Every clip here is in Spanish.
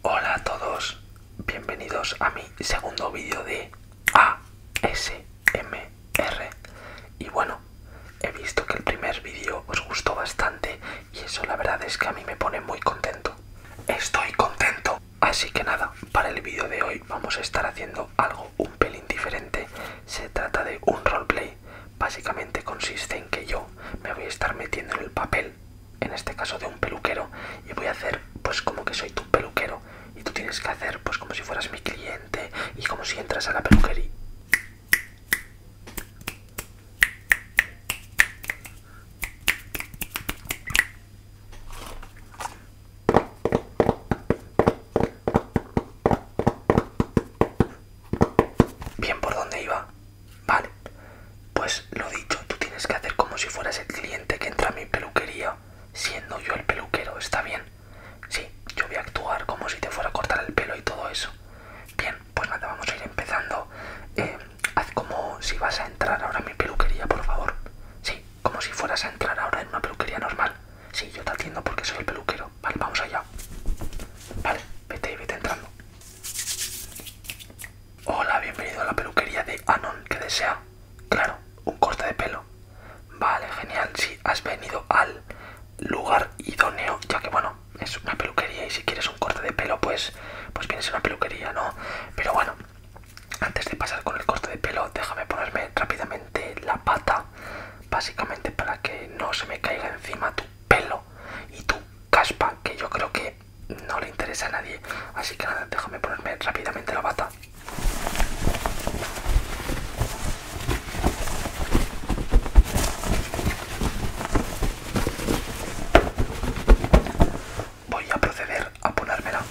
Hola a todos, bienvenidos a mi segundo vídeo de ASMR Y bueno, he visto que el primer vídeo os gustó bastante y eso la verdad es que a mí me pone muy contento Estoy contento Así que nada, para el vídeo de hoy vamos a estar haciendo algo un pelín diferente Se trata de un roleplay Básicamente consiste en que yo me voy a estar metiendo en el papel en este caso de un peluquero, y voy a hacer pues como que soy tu peluquero y tú tienes que hacer pues como si fueras mi cliente y como si entras a la peluquería. Bien, ¿por dónde iba? Vale, pues lo dicho, tú tienes que hacer como si fueras el cliente que entra a mi peluquería, siendo yo el peluquero, ¿está bien? Sí, yo voy a actuar como si te fuera a cortar el pelo y todo eso. Bien, pues nada, vamos a ir empezando. Eh, haz como si vas a entrar ahora a mi peluquería, por favor. Sí, como si fueras a entrar ahora en una peluquería normal. Sí, yo te atiendo porque soy el peluquero. Vale, vamos allá. Vale, vete, vete entrando. Hola, bienvenido a la peluquería de Anon, que desea, claro, un corte de pelo. Vale, genial, si has venido al lugar idóneo, ya que bueno, es una peluquería y si quieres un corte de pelo, pues, pues vienes a una peluquería, ¿no? Pero bueno, antes de pasar con el corte de pelo, déjame ponerme rápidamente la pata, básicamente para que no se me caiga encima tu pelo y tu caspa que yo creo que no le interesa a nadie. Así que nada, déjame ponerme rápidamente la bata. Voy a proceder a ponérmela.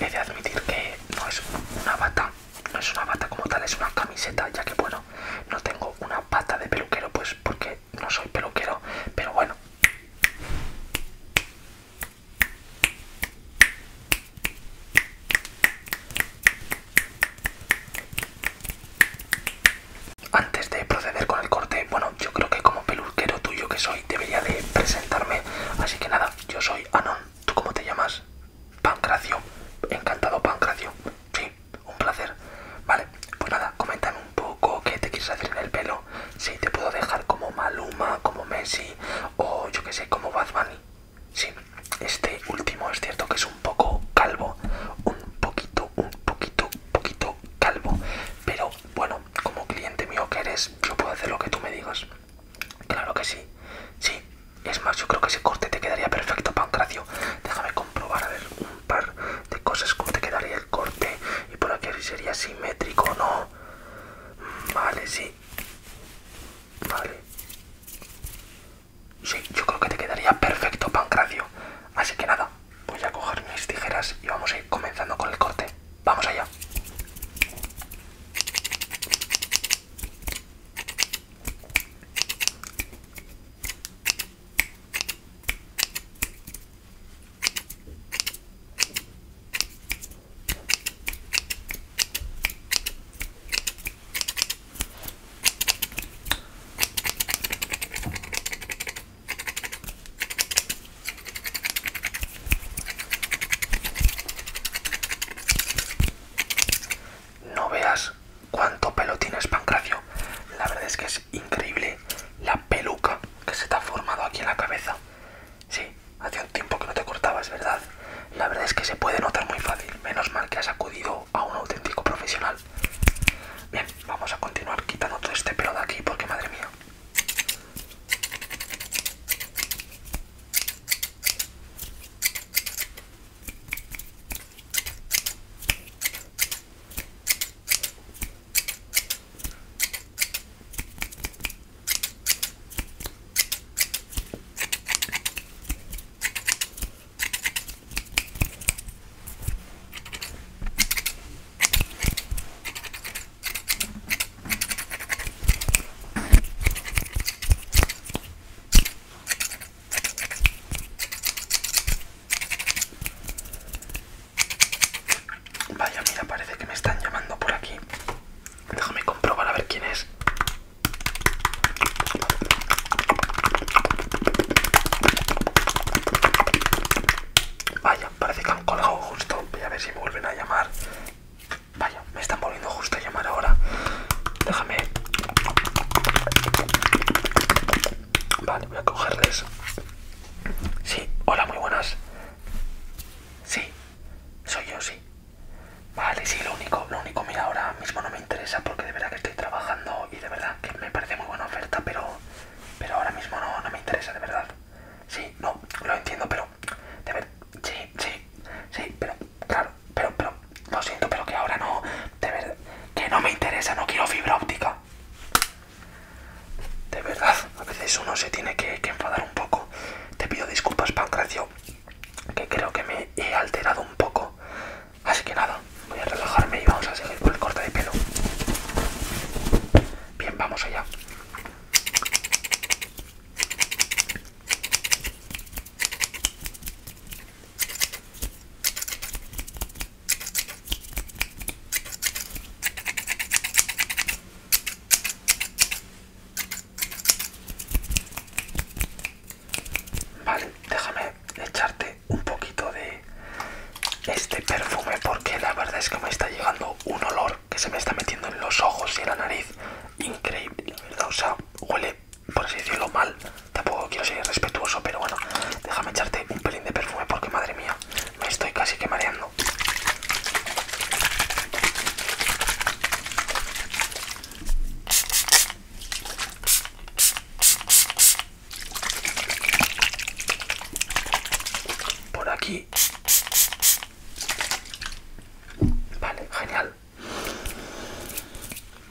He de admitir que no es una bata, no es una bata como tal, es una camiseta, ya que bueno, no tengo una bata de peluquero, pues porque no soy peluquero, pero bueno. Antes de proceder con el corte, bueno, yo creo que como peluquero tuyo que soy, debería de presentarme. Así que nada, yo soy Anon. ¿Tú cómo te llamas? Pancracio. Encantado, Pancracio. Sí, un placer. Vale, pues nada, coméntame un poco qué te quieres hacer en el pelo. Si te puedo dejar como Maluma, como Messi o yo que sé, como Bad Bunny. Sí, este último es cierto que es un poco calvo, un poquito, un poquito poquito calvo, pero bueno, como cliente mío que eres, yo puedo hacer lo que tú me digas. Claro que sí, sí. Es más, yo creo que ese corte te quedaría perfecto, Pancracio. Déjame comprobar, a ver, un par de cosas, cómo te quedaría el corte. Y por aquí sería simétrico o no. Vale, sí. Vale. Sí, yo creo que te quedaría perfecto, Pancracio. Así que nada, voy a coger mis tijeras y vamos a ir comenzando con el corte. Vamos allá. No veas cuánto pelo tienes, Pancracio. La verdad es que es increíble la peluca que se te ha formado aquí en la cabeza. Sí, hace un tiempo que no te cortabas, ¿verdad? La verdad es que se puede notar muy fácil. Menos mal que has acudido a un auténtico profesional. Bien, vamos a continuar quitando todo este pelo de aquí porque madre mía. Vaya, mira, parece que me están llamando por aquí. Déjame comprobar a ver quién es. Vaya, parece que han colgado justo. Voy a ver si me vuelven a llamar. Vaya, me están volviendo justo a llamar ahora. Déjame. Vale, voy a cogerles. Sí, hola, muy buenas. Sí, soy yo, sí. Vale, sí, lo único, lo único, mira, ahora mismo no me interesa porque de verdad que estoy trabajando y de verdad que me parece muy buena oferta, pero, pero ahora mismo no, no me interesa, de verdad. Sí, no, lo entiendo, pero, de verdad, sí, sí, sí, pero, claro, pero, pero, lo siento, pero que ahora no, de verdad, que no me interesa, no quiero fibra óptica. De verdad, a veces uno se tiene que, que enfadar un poco. Te pido disculpas, Pancracio, que creo que me he alterado un poco Así que nada, voy a relajarme y vamos a seguir con el corte de pelo. Bien, vamos allá. Vale, déjame echarte un poquito de este perfume porque la verdad es que me está llegando un olor que se me está metiendo en los ojos y en la nariz. Increíble, la verdad. O sea, huele, por así decirlo, mal. Tampoco quiero ser irrespetuoso, pero bueno, déjame echarte un pelín de perfume porque madre mía, me estoy casi quemando por aquí vale genial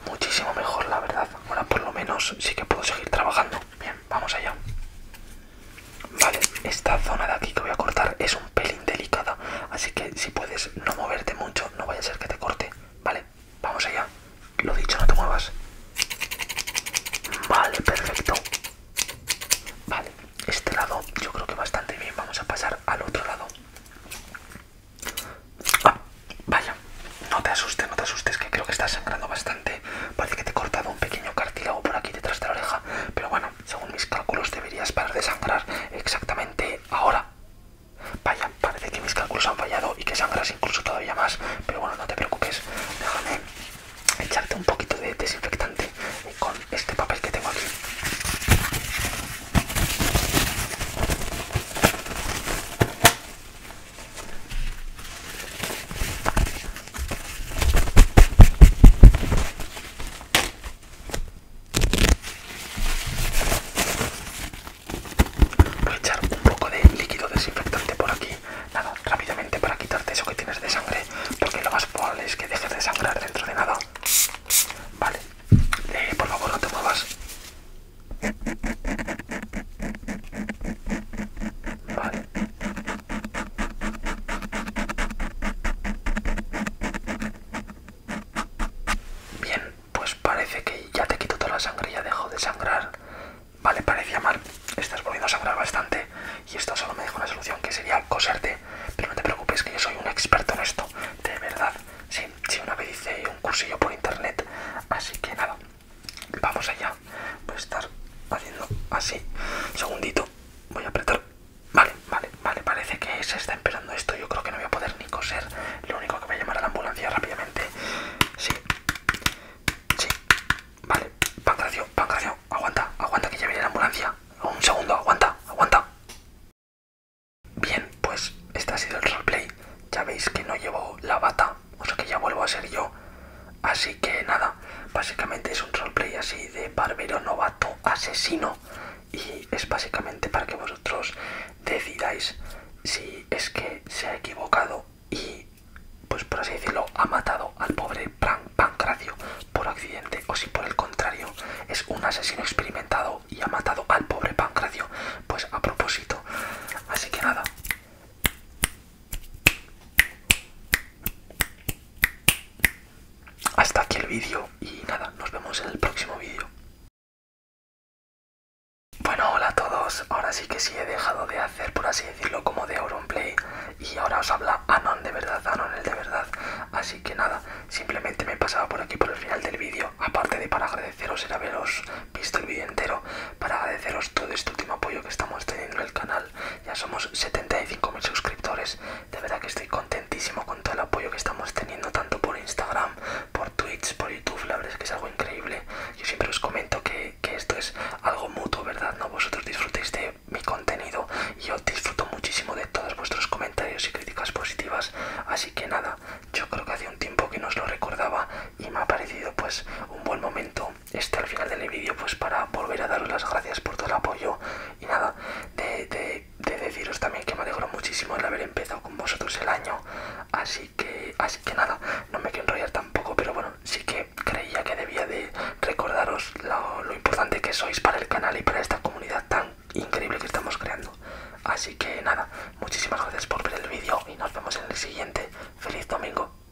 muchísimo mejor la verdad ahora por lo menos sí que puedo seguir trabajando bien vamos allá vale esta zona de aquí que voy a cortar es pelín delicada, así que si puedes no moverte mucho, no vaya a ser que te corte, ¿vale? Vamos allá. Lo dicho, no te muevas. Vale, perfecto. Vale, este lado yo creo que bastante bien. Vamos a pasar al otro lado. Ah, vaya, no te asustes, no te asustes, que creo que estás sangrando bastante. Parece que te he cortado un pequeño cartílago por aquí detrás de la oreja, pero bueno, según mis cálculos deberías parar de sangrar exactamente ahora. Vaya, parece que mis cálculos han fallado y que sangras incluso todavía más, pero bueno, no te preocupes, déjame echarte un poquito de desinfectante con este papel que tengo aquí. Voy a echar un poco de líquido desinfectante por aquí, nada, rápidamente para quitarte eso que tienes de sangre, porque lo más probable es que dejes de sangrar dentro de nada. Vale, eh, por favor no te muevas. Vale. Bien, pues parece que ya te quito toda la sangre, ya dejo de sangrar. Vale, parecía mal. Estás volviendo a sangrar bastante y esto solo me deja una solución que sería coserte. Pero no te preocupes que yo soy un experto en esto. De verdad. Sí, sí, una vez hice un cursillo por internet. Así que nada. Vamos allá. Voy a estar haciendo así. segundito. Voy a apretar Vale, vale, vale, parece que se está esperando esto. Yo creo que no voy a poder ni coser. Lo único que voy a llamar a la ambulancia rápidamente. Sí, sí, vale. Pancracio, Pancracio, aguanta, aguanta que ya viene la ambulancia. Un segundo, aguanta, aguanta. Bien, pues este ha sido el roleplay. Ya veis que no llevo la bata, o sea que ya vuelvo a ser yo. Así que nada básicamente es un roleplay así de barbero novato asesino y es básicamente para que vosotros decidáis si es que se ha equivocado y, pues por así decirlo, ha matado al pobre Pancracio por accidente o si por el contrario es un asesino experimentado y ha matado al pobre Pancracio, pues a propósito. Así que nada, hasta aquí el vídeo y nada, nos vemos en el próximo vídeo. Bueno, hola a todos. Ahora sí que sí he dejado de hacer, por así decirlo, como de Auronplay. Y ahora os habla Anon de verdad, Anon el de verdad. Así que nada, simplemente me he pasado por aquí por el final del vídeo. Aparte de para agradeceros era haberos visto el vídeo entero, para agradeceros todo este último apoyo que estamos teniendo en el canal. Ya somos 75.000 suscriptores. De verdad que estoy contentísimo con todo el apoyo que estamos teniendo, tanto por Instagram, por Twitch, por YouTube. La verdad es que es algo increíble. Yo siempre os comento que, esto es algo mutuo, ¿verdad? ¿No? Vosotros disfrutéis de mi contenido y yo disfruto muchísimo de todos vuestros comentarios y críticas positivas. Así que nada, yo creo que hace un tiempo que no lo recordaba y me ha parecido pues un buen momento esto al final del vídeo pues para volver a daros las gracias por todo el apoyo y nada, de, deciros también que me alegro muchísimo el haber empezado con vosotros el año, así que, así que nada, no me quiero enrollar tampoco, pero bueno, sí que creía que debía de recordaros lo, lo importante que sois para el canal y para esta comunidad tan increíble que estamos creando. Así que nada, muchísimas gracias por ver el vídeo y nos vemos en el siguiente. Feliz domingo.